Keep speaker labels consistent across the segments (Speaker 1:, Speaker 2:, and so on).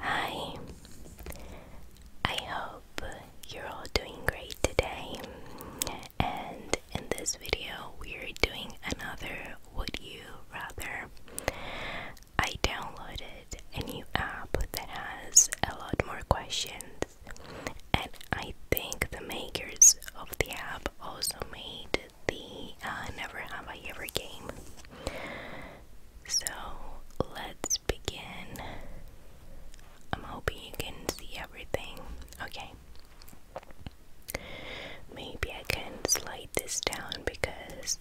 Speaker 1: Hi, I hope you're all doing great today. And in this video, we're doing another Would You Rather. I downloaded a new app that has a lot more questions, and I think the makers of the app also made the uh, Never Have I Ever game. So let's begin. I'm hoping you can see everything. Okay. Maybe I can slide this down because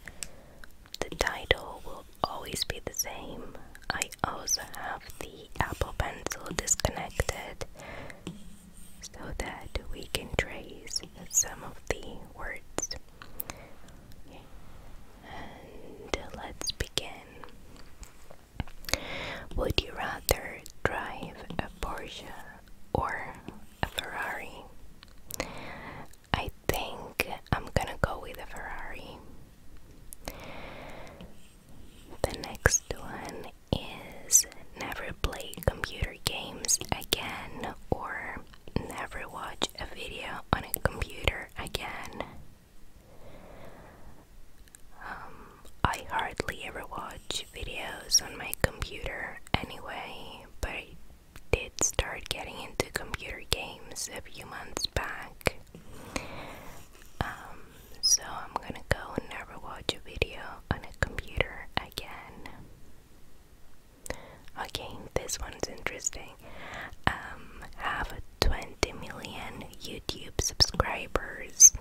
Speaker 1: the title will always be the same. I also have the Apple Pencil disconnected so that we can trace some of the words let's begin. Would you rather drive a Porsche or a Ferrari? I think I'm gonna go with a Ferrari. The next one is never play computer games again or never watch a video on a computer again. Um, I hardly ever watch videos on my computer anyway, but I did start getting into computer games a few months back. Um, so I'm gonna go and never watch a video on a computer again. Okay, this one's interesting. Um, have 20 million YouTube subscribers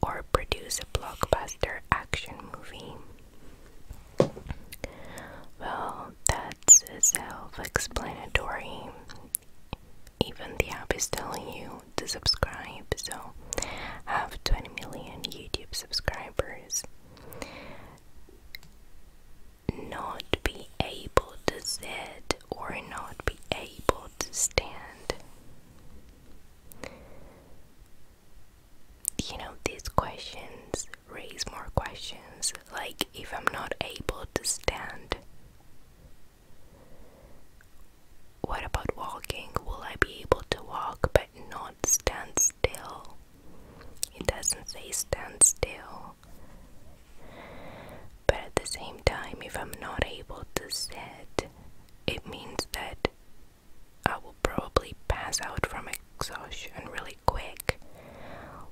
Speaker 1: or produce a blockbuster action movie. Well, that's self explanatory. Even the app is telling you to subscribe, so have 20 million YouTube subscribers not be able to sit or not be able to stand. You know, these questions raise more questions, like if I'm not able to stand, what about walking? Will I be able to walk? But not stand still. It doesn't say stand still. But at the same time, if I'm not able to sit, it means that I will probably pass out from exhaustion really quick.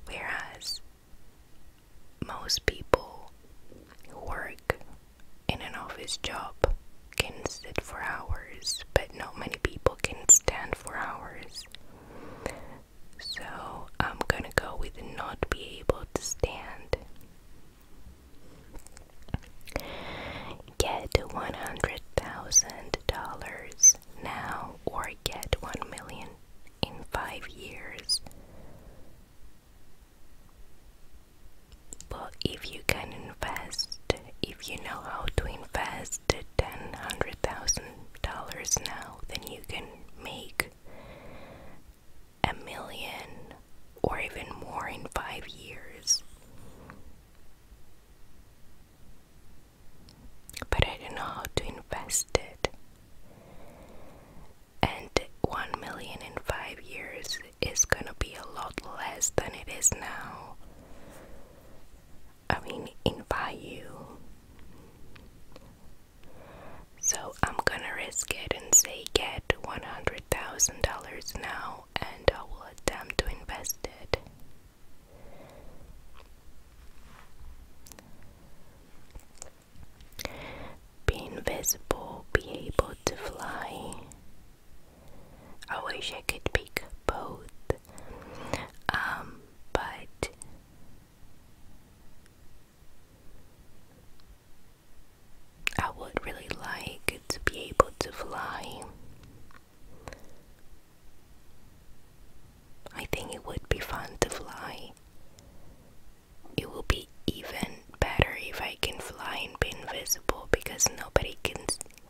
Speaker 1: Whereas most people who work in an office job can sit for hours, but not many people can stand for hours. So I'm gonna go with not be able to stand. Get one hundred thousand dollars now or get one million in five years. But if you can invest if you know how to invest ten hundred thousand dollars now, then you can make a million or even more in five years. But I don't know how to invest it. And one million in five years is gonna be a lot less than it is now. I mean in value. So I'm gonna risk it and say get $100,000 now and I will attempt to invest it. Be invisible, be able to fly. I wish I could pick both. Um, but I would really like to be able to fly. I think it would be fun to fly. It will be even better if I can fly and be invisible because nobody can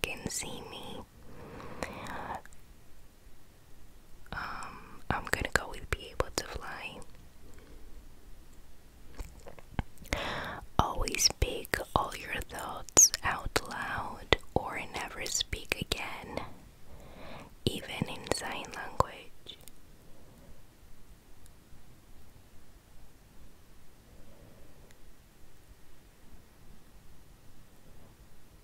Speaker 1: can see me. Um, I'm gonna go with be able to fly. Always speak all your thoughts out loud or never speak again, even in sign language.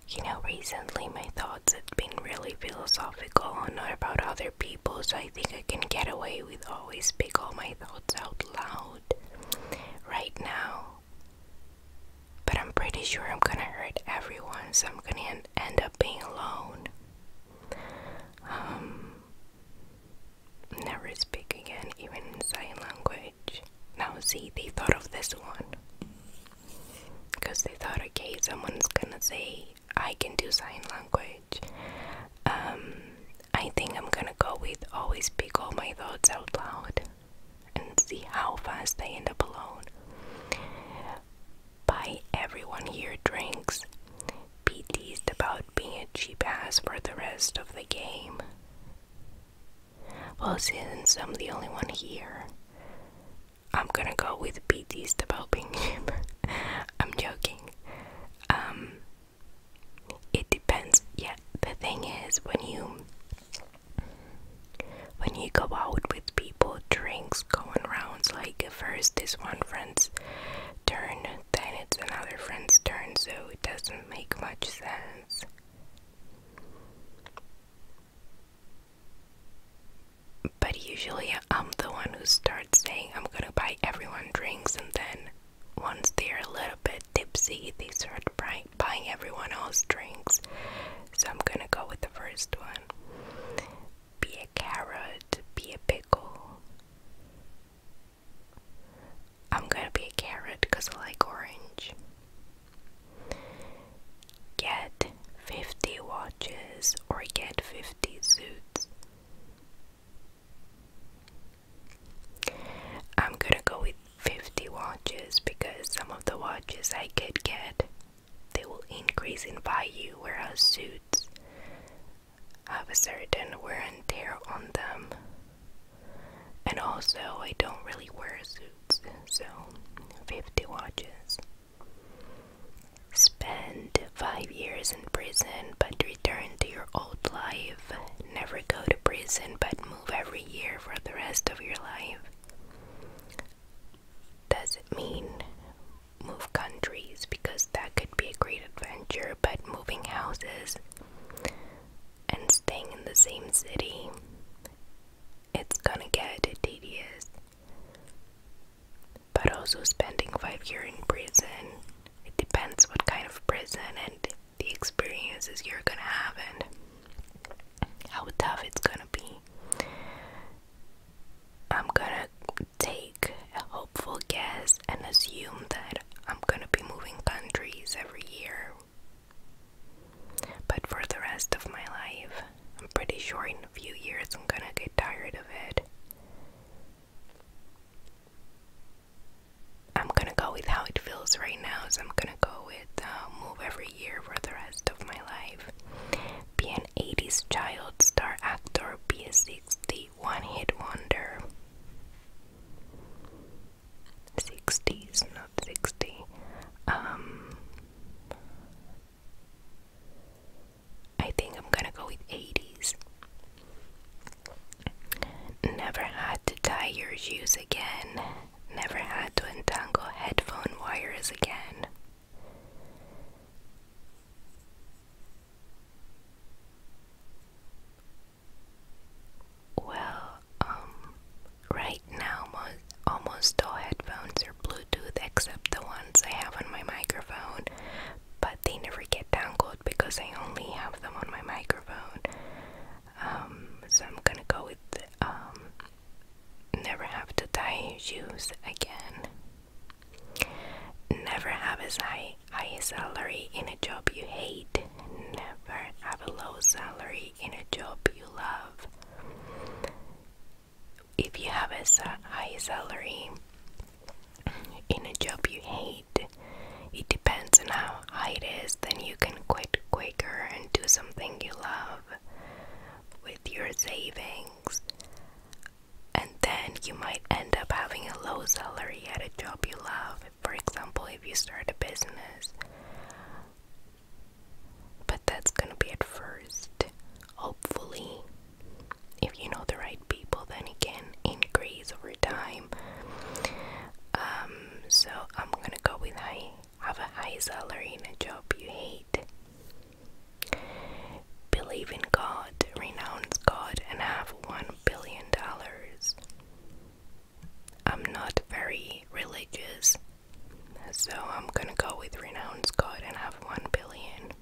Speaker 1: You know, recently my thoughts have been really philosophical and about other people, so I think I can get away with always speak all my thoughts out loud right now. But I'm pretty sure I'm gonna hurt everyone, so I'm gonna end up being alone. Um, never speak again, even in sign language. Now, see, they thought of this one because they thought, okay, someone's gonna say, I can do sign language. Um, I think I'm gonna go with always speak all my thoughts out loud and see how fast I end up alone. By everyone here drinks, be teased about being a cheap ass for the rest of the game. Well, since I'm the only one here, I'm gonna go with BT's developing I'm joking. Um, it depends. Yeah, the thing is, when you when you go out with people, drinks going rounds. Like first, this one friend's turn, then it's another friend's turn. So it doesn't make much sense. But usually I'm the one who starts saying I'm gonna buy everyone drinks and then once they're a little bit tipsy they start buying, everyone else drinks. So I'm gonna go with the first one. Be a carrot, be a pickle. I'm gonna be a carrot because I like orange. Get 50 watches or get 50 suits. I'm gonna go with 50 watches because some of the watches I could get they will increase in value whereas suits have a certain wear and tear on them and also, I don't really wear suits, so 50 watches. Spend five years in prison but return to your old life. Never go to prison but move every year for the rest of your life. Does it mean move countries? Because that could be a great adventure, but moving houses and staying in the same city, it's gonna get tedious. But also, spending five years in prison, it depends what kind of prison and the experiences you're gonna have and how tough it's gonna be. I'm gonna take a hopeful guess and assume that I'm gonna be moving countries every year but for the rest of my life, I'm pretty sure in a few years I'm gonna get tired of it. I'm gonna go with how it feels right now, so I'm gonna go with uh, move every year for the rest of my life. Be an 80s child, star actor, be a 60, one hit wonder. 60s, not 60. Um, I think I'm gonna go with 80s. Never had to tie your shoes again. Never had to untangle headphone wires again. Well, um, right now, most, almost all headphones are Bluetooth except the ones I have on my microphone, but they never get tangled because I only have them on my microphone. Um, so I'm gonna go with, um, never have to tie shoes again. Never have a high, high salary in a job you hate. Never have a low salary in a job you love. If you have a high salary in a job you hate, it depends on how high it is, then you can quit quicker and do something you love with your savings. And then you might end up having a low salary at a job you love for example, if you start a business, but that's gonna be at first. Hopefully, if you know the right people, then it can increase over time. Um, so I'm gonna go with high, have a high salary in a job you hate. Believe in God, renounce God, and have one billion dollars. I'm not very religious, so I'm gonna go with Renounce God and have 1 billion.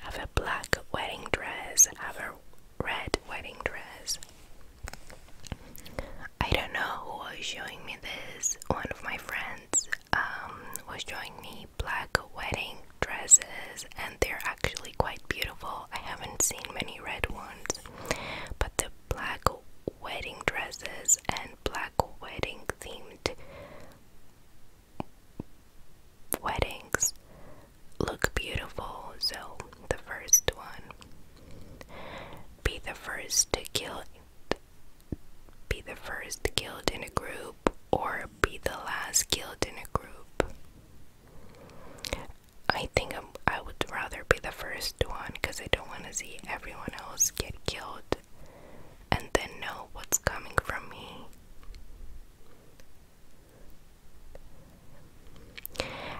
Speaker 1: Have a black wedding dress, have a red wedding dress. I don't know who was showing me this. One of my friends um, was showing me black wedding dresses they're actually quite beautiful. I haven't seen many red ones, but the black wedding dresses and black wedding themed weddings look beautiful. So, the first one be the first to kill be the first killed in a group or be the last killed in a group I think i would rather be the first one because I don't want to see everyone else get killed and then know what's coming from me.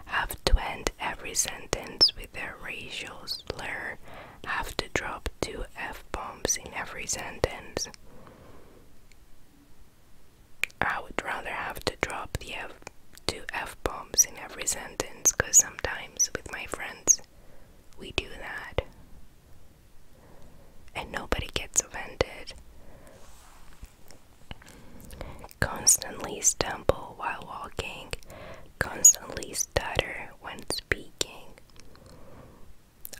Speaker 1: Have to end every sentence with a racial slur. Have to drop two F bombs in every sentence. I would rather have to drop the F two F bombs in every sentence because sometimes with my friends we do that and nobody gets offended. Constantly stumble while walking, constantly stutter when speaking.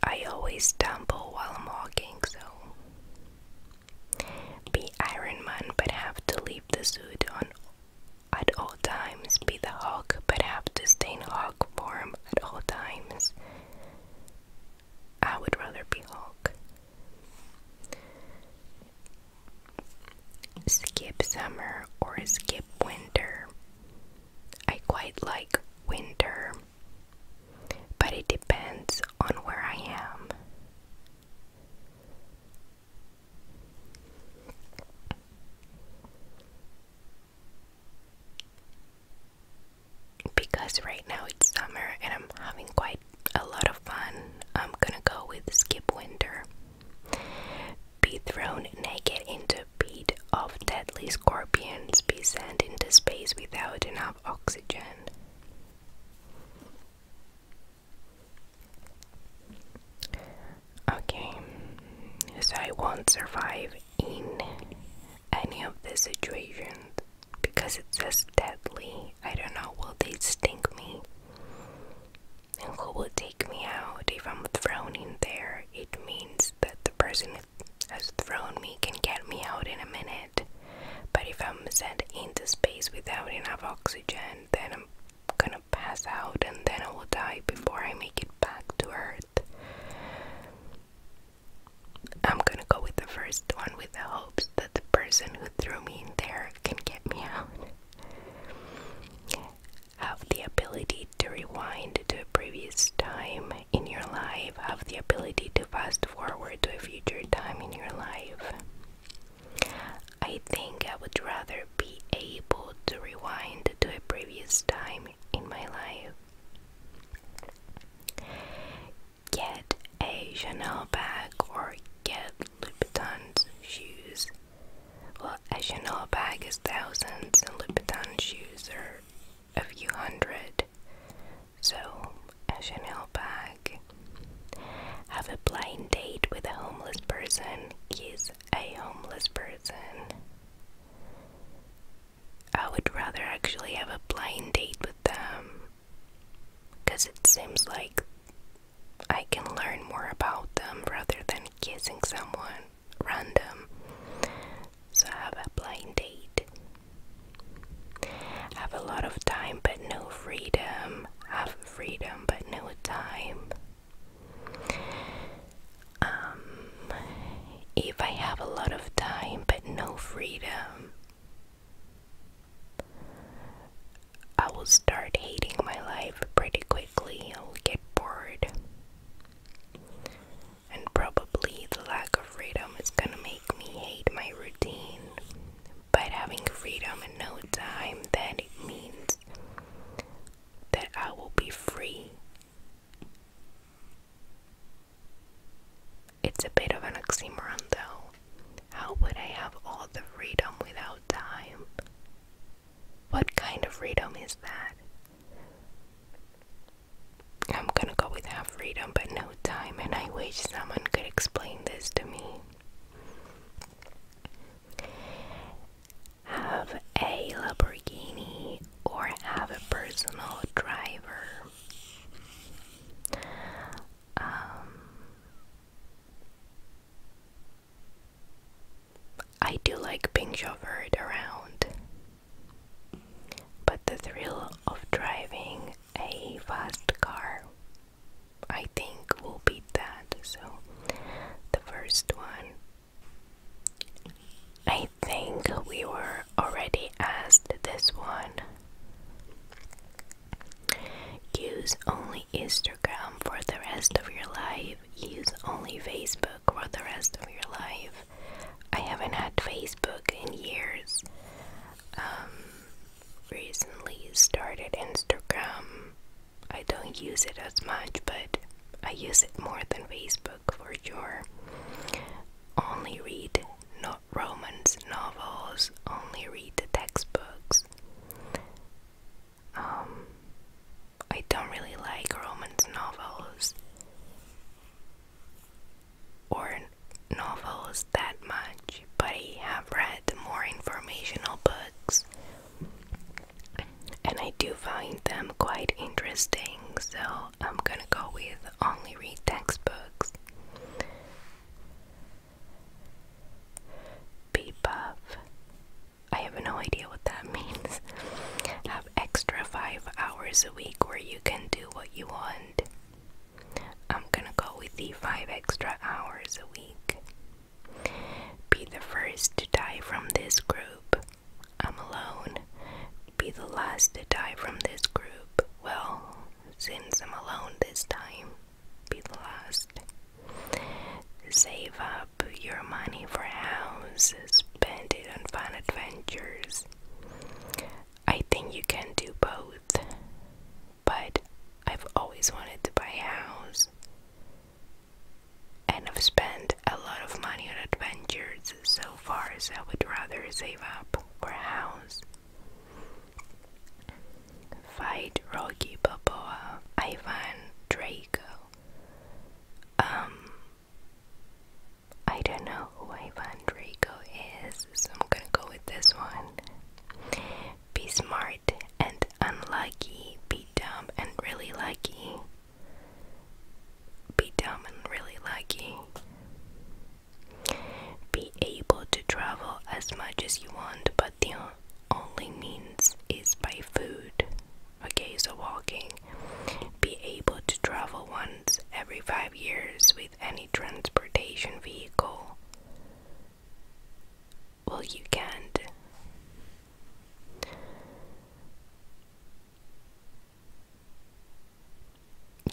Speaker 1: I always stumble while I'm walking, so be Iron Man, but have to leave the suit on at all times. Be the Hulk, but have to stay in Hulk form at all times. I would rather be Hulk. Skip summer or skip winter. I quite like winter, but it depends on where I am. Because right now it's summer and I'm having quite a lot of fun, I'm gonna go with Skip Winter. Be thrown naked into a pit of deadly scorpions, be sent into space without enough oxygen. Okay, so I won't survive in any of the situations because it's as deadly. I don't know, will they stink me? And who will take me out if I'm thrown in there? It means that the person has thrown me can get me out in a minute. But if I'm sent into space without enough oxygen, then I'm gonna pass out and then I will die before I make it back to Earth. I'm gonna go with the first one with the hopes that the person who threw me in there can get me out. Have the ability to rewind to a previous time in your life, have the ability to fast forward to a future time in your life. I think I would rather be able to rewind to a previous time in my life. Get a Chanel bag or get Louis Vuitton shoes. Well, a Chanel bag is thousands and Louis Vuitton shoes are a few hundred. So, a Chanel bag. Have a blind date with a homeless person. Kiss a homeless person. I would rather actually have a blind date with them because it seems like I can learn more about them rather than kissing someone random. So, I have a blind date. Have a lot of time but no freedom. Have freedom but no time. Um, if I have a lot of time but no freedom, I will start hating my life pretty quickly. I will get bored. And probably the lack of freedom is gonna make make me hate my routine, but having freedom in no time, then means that I will be free. It's a bit of an oxymoron though. How would I have all the freedom without time? What kind of freedom is that? I'm gonna go with half freedom but no time, and I wish someone could explain this to me. Have a Lamborghini or have a personal driver. Um, I do like being chauffeured around, but the thrill of driving a fast car. I think we'll beat that. So, the first one. I think we were already asked this one. Use only Instagram for the rest of your life. Use only Facebook for the rest of your life. I haven't had Facebook in years. Um, recently started Instagram. I don't use it as much, but I use it more than Facebook for sure. Only read not romance novels, only read the textbooks. Um, I don't really like romance novels or novels that much, but I have read more informational books and I do find them quite interesting, so I'm gonna go with only read textbooks. Be buff. I have no idea what that means. Have extra five hours a week where you can do what you want. I'm gonna go with the 5 extra hours a week. Be the first to die from this group. I'm alone. Be the last to die from this group. Well, since I'm alone this time, be the last. Save up your money for house, spend it on fun adventures. I think you can do both but I've always wanted to buy a house. And I've spent a lot of money on adventures so far, so I would rather save up for a house. Fight Rocky Balboa, Ivan Draco. Um, I don't know who Ivan Drago is, so I'm gonna go with this one. Be smart and unlucky, be dumb and really lucky. Be dumb and really lucky. Be able to travel as much as you want, but the only means is by food. Okay, so walking. Be able to travel once every five years any transportation vehicle? Well, you can't.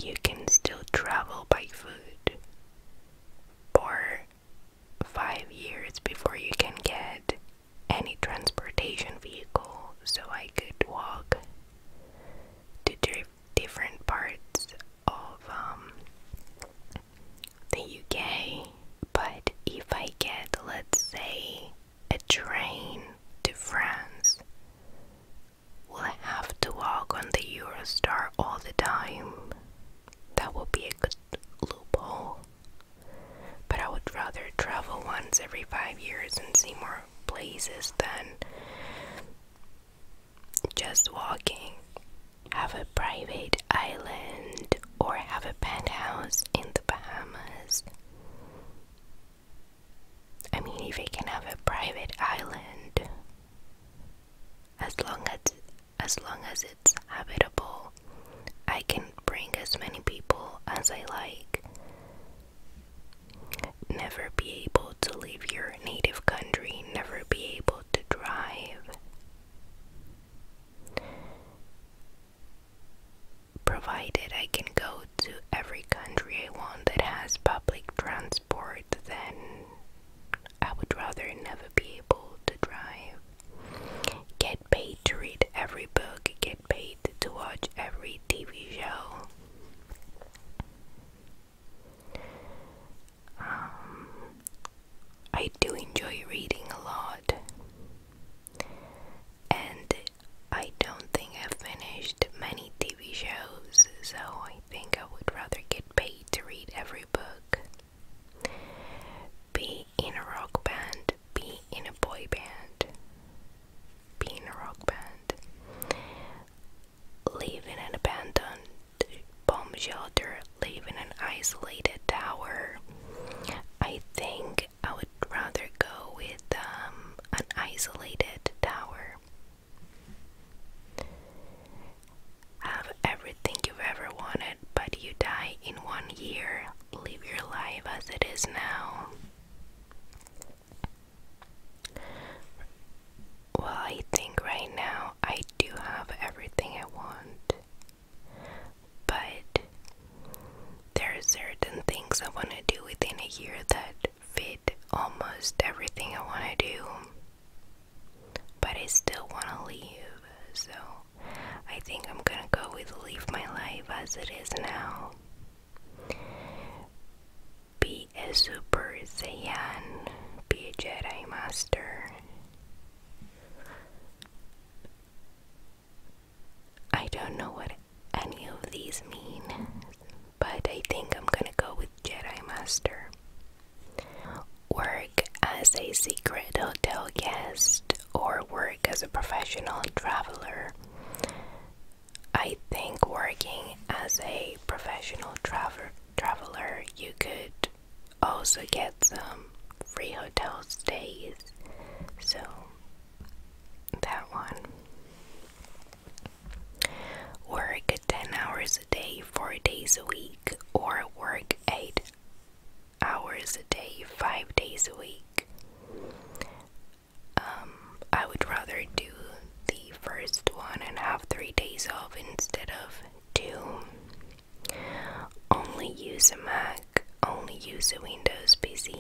Speaker 1: You can still travel by foot for five years before you can get any transportation vehicle. So I could walk to drift different parts of um, the UK, but if I get, let's say, a train to France, will have to walk on the Eurostar all the time? That would be a good loophole. But I would rather travel once every five years and see more places than just walking, have a private island, or have a penthouse in the Bahamas. I mean, if I can have a private island, as long as as long as it's habitable, I can bring as many people as I like Never be able to leave your native country, never be able to drive. Provided I can go to every country I want that has public transport, then I would rather never be able to drive. Get paid to read every book, get paid to watch every TV show. Um, I do enjoy reading a lot, and I don't think I've finished many TV shows, so I think I would rather get paid to read every book. Be in a rock band, be in a boy band, be in a rock band live in an abandoned bomb shelter, live in an isolated tower. I think I would rather go with um, an isolated tower. Have everything you've ever wanted, but you die in one year. Leave your life as it is now. Well, I think right now I do have everything I want, but there are certain things I want to do within a year that fit almost everything I want to do, but I still want to leave, so I think I'm gonna go with Leave My Life as it is now. Be a Super Saiyan. Be a Jedi Master. I don't know what any of these mean, but I think I'm gonna go with Jedi Master. Work as a secret hotel guest or work as a professional traveler. I think working as a professional travel traveler, you could also get some free hotel stays. So that one. Work 10 hours a day, 4 days a week, or work 8 hours a day, 5 days a week um, I would rather do the first one and have three days off instead of two. Only use a Mac, only use a Windows PC.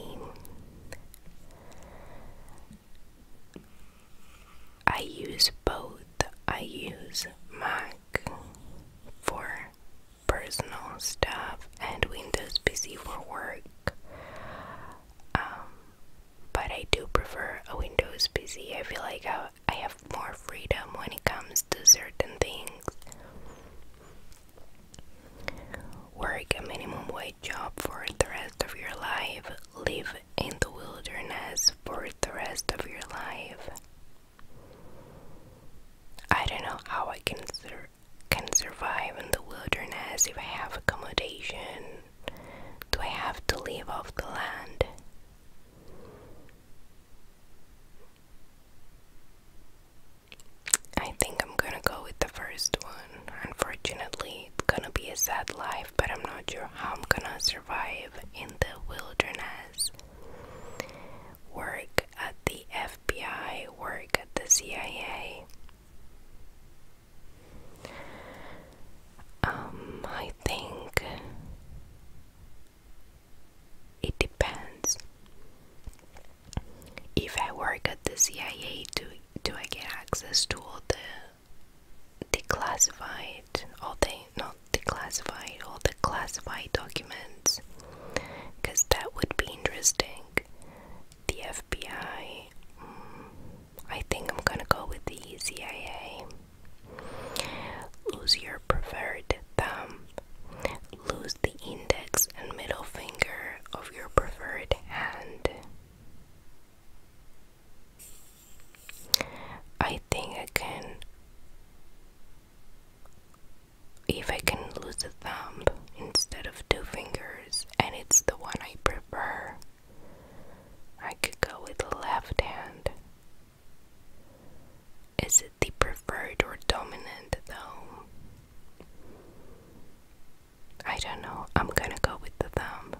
Speaker 1: I use both. I use Mac for personal stuff and Windows PC for work. Um, but I do prefer a Windows PC. I feel like I, I have more freedom when it comes to certain things. Work a minimum wage job for the rest of your life. Live in the wilderness for the rest of your life. I don't know how I can, can survive in the wilderness if I have accommodation do I have to leave off the land? I think I'm gonna go with the first one. Unfortunately, it's gonna be a sad life, but I'm not sure how I'm gonna survive in the wilderness. Work at the FBI, work at the CIA. Um, I think it depends. If I work at the CIA, do do I get access to all the declassified, all the not declassified, all the classified documents? Because that would be interesting the FBI. Mm, I think I'm gonna go with the CIA. Lose your preferred thumb. Lose the index and middle finger of your preferred hand. I think I can. If I can lose the thumb instead of two fingers, and it's the one I prefer, I could go with the left hand. Is it the preferred or dominant though? I don't know. I'm gonna go with the thumb.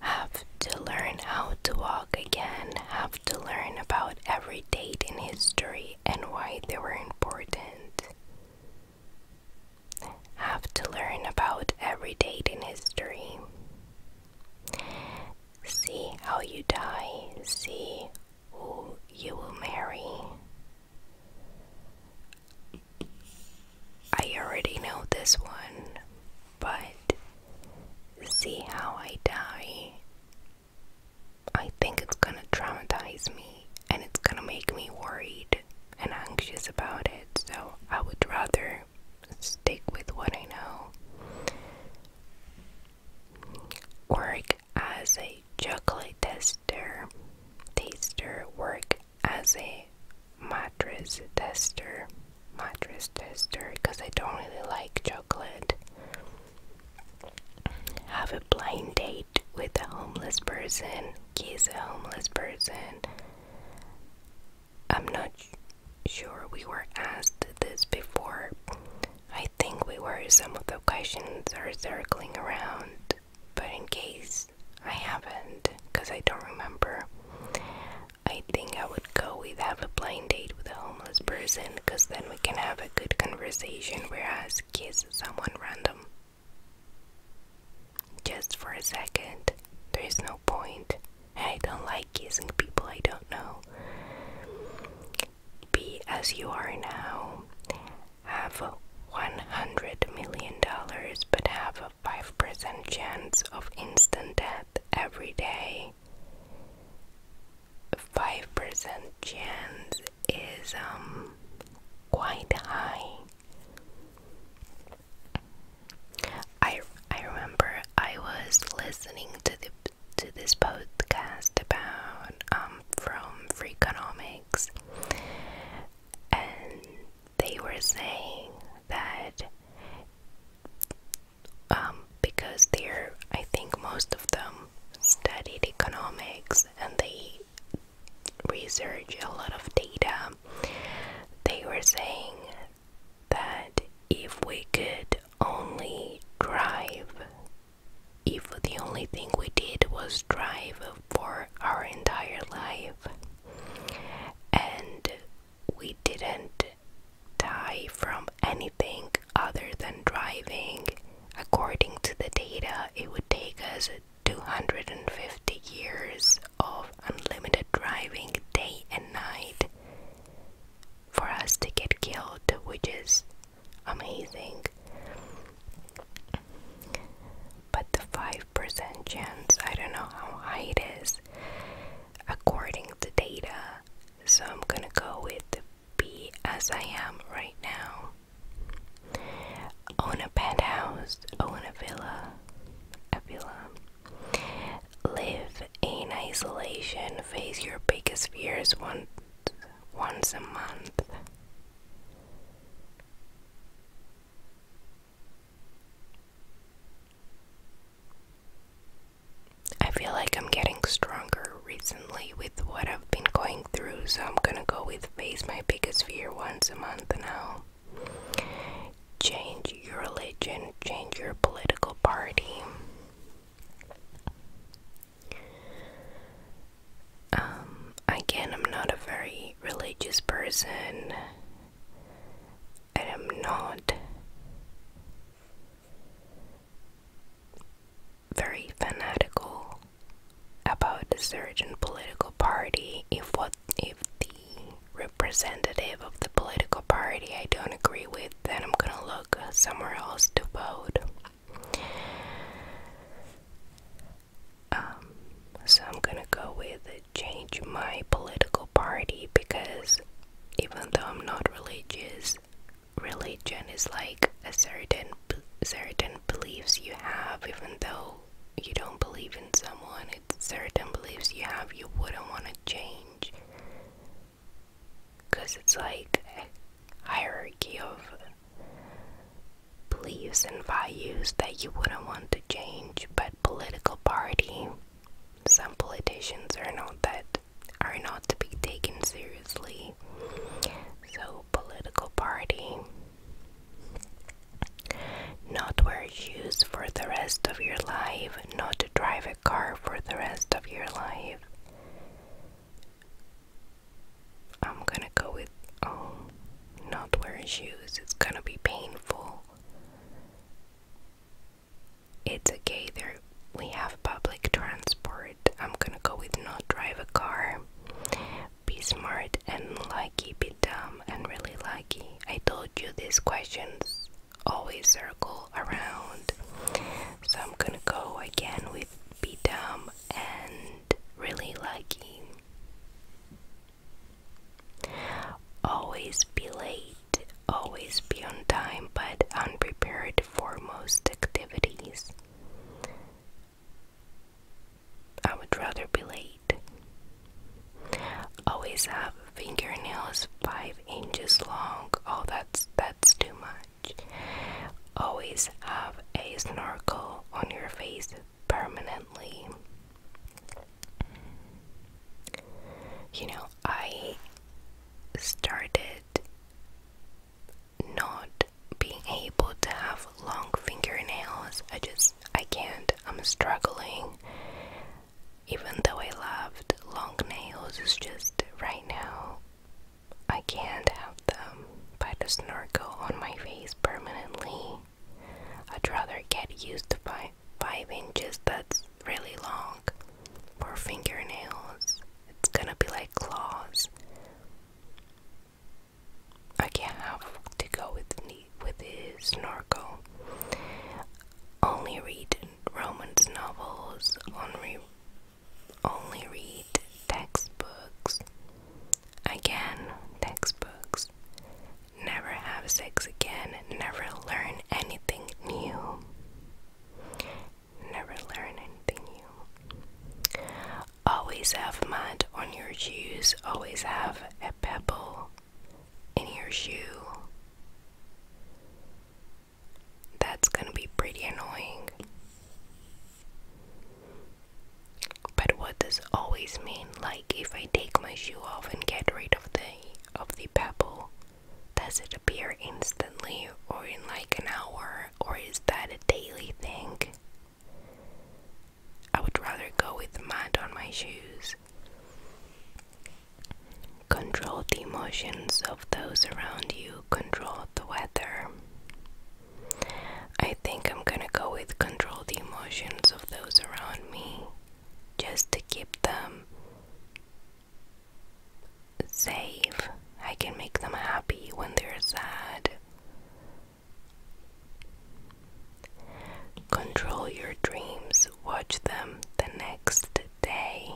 Speaker 1: Have to learn how to walk again, have to learn about every date in history and why they were important. Have to learn about every date in history. See how you die, see who you will marry. I already know this one, but see how I die I think it's gonna traumatize me and it's gonna make me worried and anxious about it, so I would rather stick with what I know. Work as a chocolate tester, taster, work as a mattress tester, mattress tester, because I don't really like chocolate. Have a blind date with a homeless person, kiss a homeless person. I'm not sure we were asked this before. I think we were, some of the questions are circling around, but in case I haven't, because I don't remember, I think I would go with have a blind date with a homeless person because then we can have good conversation, whereas kiss someone random just for a second, there is no point. I don't like kissing people I don't know. Be as you are now. Have $100 million, but have a 5% chance of instant death every day. 5% chance is um, quite high. I I remember I was listening to the to this podcast about um from Freakonomics and they were saying that um because they're I think most of them studied economics and they researched a lot of data, they were saying that if we could only drive, if the only thing we did was drive for our entire life and we didn't die from anything other than driving, According to the data, it would take us 250 years of unlimited driving day and night for us to get killed, which is amazing. But the 5% chance, I don't know how high it is according to data, so I'm gonna go with the B as I am right now. Own a penthouse, own a villa, a villa. Live in isolation, face your biggest fears once once a month. I feel like I'm getting stronger recently with what I've been going through, so I'm gonna go with Face My Biggest Fear once a month now. Change your religion, change your political party. Um, again, I'm not a very religious person. I am not very fanatical about a certain political party if what if the representative of the political party I don't agree with then I'm gonna look somewhere else to vote um, so I'm gonna go with change my political party because even though I'm not religious religion is like a certain certain beliefs you have even though you don't believe in someone it's certain beliefs you have you wouldn't want to change because it's like a hierarchy of beliefs and values that you wouldn't want to change but political party some politicians are not that are not to be taken seriously. So, political party, not wear shoes for the rest of your life, not to drive a car for the rest of your life. I'm gonna go with oh, not wear shoes, it's gonna be painful. It's okay, they we have public transport. I'm gonna go with not drive a car. Be smart and lucky, be dumb and really lucky. I told you these questions always circle around. So I'm gonna go again with be dumb and really lucky. Always be late, always be on time but unprepared for most activities. I would rather be late. Always have fingernails five inches long. Oh, that's that's too much. Always have a snorkel on your face permanently. You know, I started not being able to have long fingernails. I just, I can't. I'm struggling. Even though I loved long nails, it's just right now I can't have them by the snorkel on my face permanently. I'd rather get used to five, five inches that's really long for fingernails. It's gonna be like claws. I can't have to go with the, with his snorkel. Only read Romance novels. Only only read textbooks. Again, textbooks. Never have sex again. Never learn anything new never learn anything new. Always have mud on your shoes, always have a pebble in your shoe. That's gonna be pretty annoying. But what does always mean? Like if I take my shoe off and get rid of the of the pebble, does it appear instantly or in like an hour or is that a daily thing? I would rather go with the mind on my shoes. Control the emotions of those around you, control the weather. I think I'm gonna go with control the emotions of those around me just to keep them save. I can make them happy when they're sad. Control your dreams. Watch them the next day.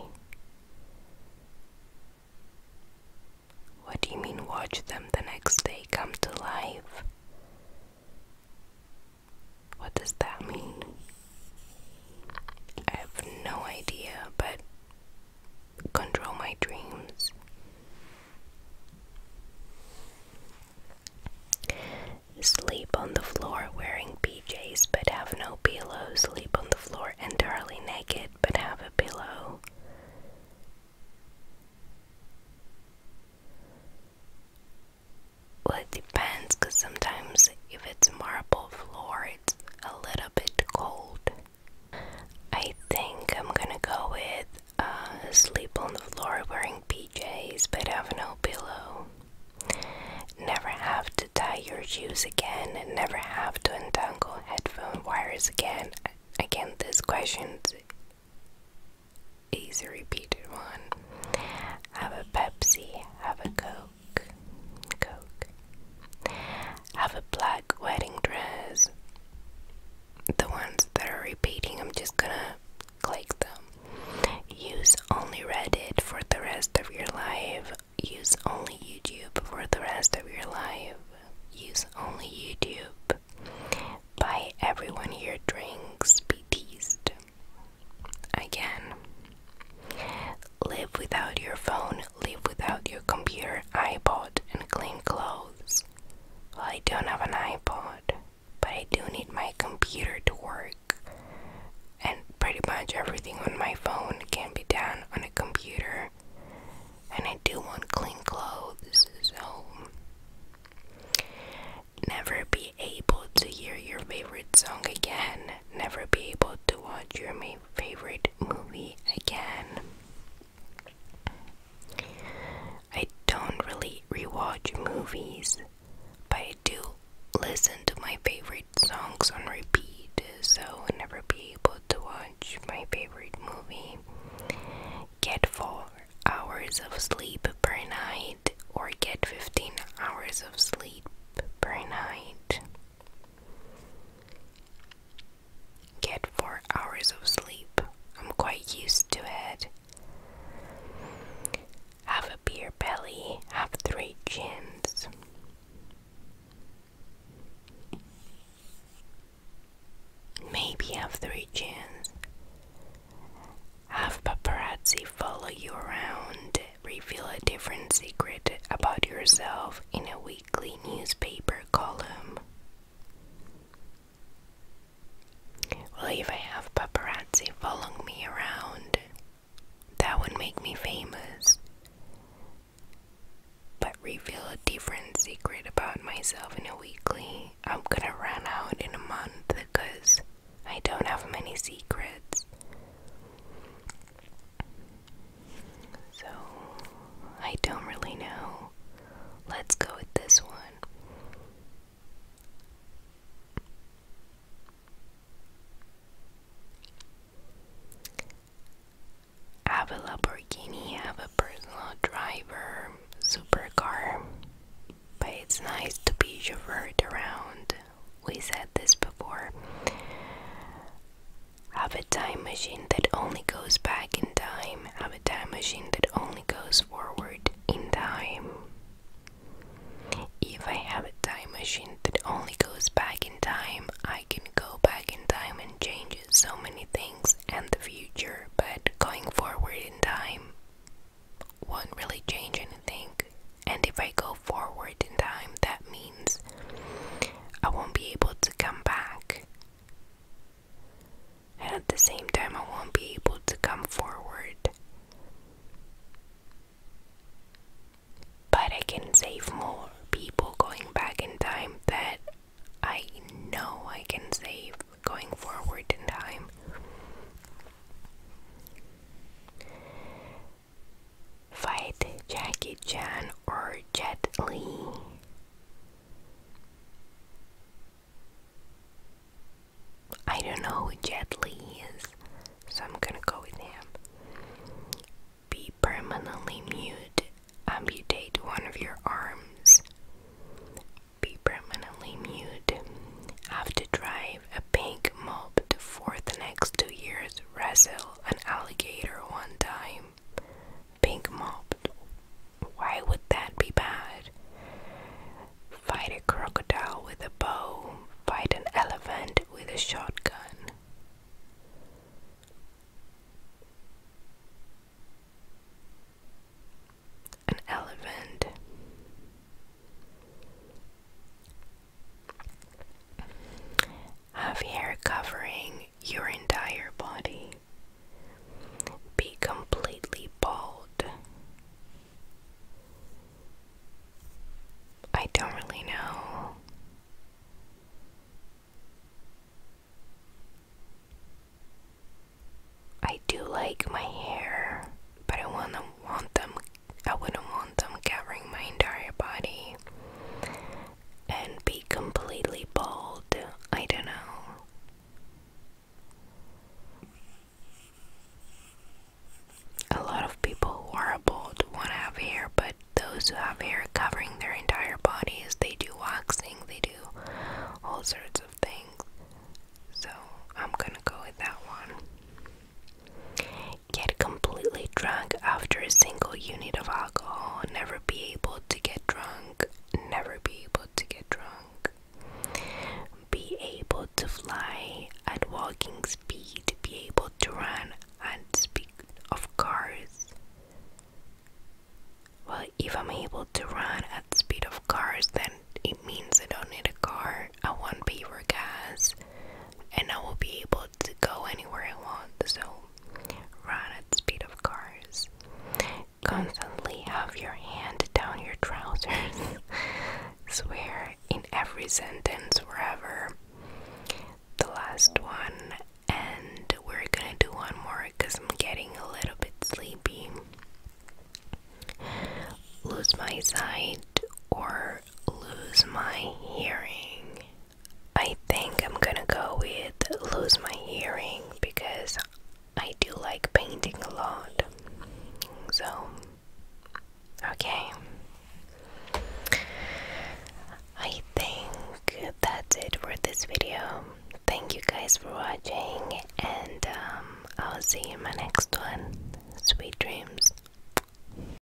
Speaker 1: What do you mean, watch them the next day come to life? What does that mean? I have no idea, but control my dreams. Sleep on the floor wearing PJs but have no pillow. Sleep on the floor entirely naked but have a pillow. Well, it depends because sometimes if it's marble floor, it's a little bit cold. I think I'm gonna go with uh, sleep on the floor wearing PJs but have no pillow. Never have to tie your shoes again, and never have to untangle headphone wires again. Again, this question's is a repeated one. Have a Pepsi, have a Coke. Coke, Have a black wedding dress. The ones that are repeating, I'm just gonna click them. Use only Reddit for the rest of your life. Use only YouTube for the rest of your life. Use only YouTube. Buy everyone here drinks. Be teased. Again. Live without your phone live without your computer, iPod, and clean clothes. I don't have an iPod, but I do need my computer to work. And pretty much everything on my phone can be done on a computer. And I do want clean clothes, so. Never be able to hear your favorite song again. Never be able to watch your movie favorite movie again. I don't really rewatch movies, but I do listen to my favorite songs on repeat, so I'll never be able to watch my favorite movie. Get 4 hours of sleep per night, or get 15 hours of sleep per night. Get four hours of sleep. I'm quite used to it. Have a beer belly, have three chins. Maybe have three chins. Have paparazzi follow you around reveal a different secret about yourself in a weekly newspaper column? Well, if I have paparazzi following me around, that would make me famous. But reveal a different secret about myself in a weekly, I'm gonna run out in a month because I don't have many secrets. So, I don't really know. Let's go with this one. Have a have a personal driver, supercar. But it's nice to be chauffeured around. We said this before. Have a time machine that only goes back in time. Have a time machine that only goes forward in time. If I have a time machine that only goes back in time, I can go back in time and change so many things and the future, but going forward in time won't really change anything. And if I go forward in time, that means I won't be able to come back. And at the same time, I won't be able to come forward. But I can save more people going back in time that I know I can save going forward in time. Fight Jackie Chan or Jet Li? I don't know who Jet Li is, so I'm gonna go with him. Be permanently mute. Amputate one of your arms. Be permanently mute. Have to drive a pink mob for the next two years Resil, an alligator one time. Pink mopped. Why would that be bad? Fight a crocodile with a bow, fight an elephant with a shotgun. An elephant. Have hair covering your entire body. Be completely bald. I don't really know. I do like my hair, but I wanna want them I wouldn't want them covering my entire body and be completely bald. I don't know. A lot of people who are bald want to have hair, but those who have hair covering their entire bodies, they do waxing, they do all sorts of things. So I'm gonna go with that one get completely drunk after a single unit of alcohol, never be able to get drunk, never be able to get drunk, be able to fly at walking speed, be able to run at speed of cars. Well, if I'm able to run at speed of cars, then it means I don't need a car. I won't pay for gas, and I will be able to go anywhere I want, so run at the speed of cars. Constantly have your hand down your trousers. Swear in every sentence wherever. The last one, and we're gonna do one more because I'm getting a little bit sleepy. Lose my sight or lose my hearing. I think I'm gonna go with lose my hearing because I do like painting a lot. So, okay. I think that's it for this video. Thank you guys for watching, and um, I'll see you in my next one. Sweet dreams.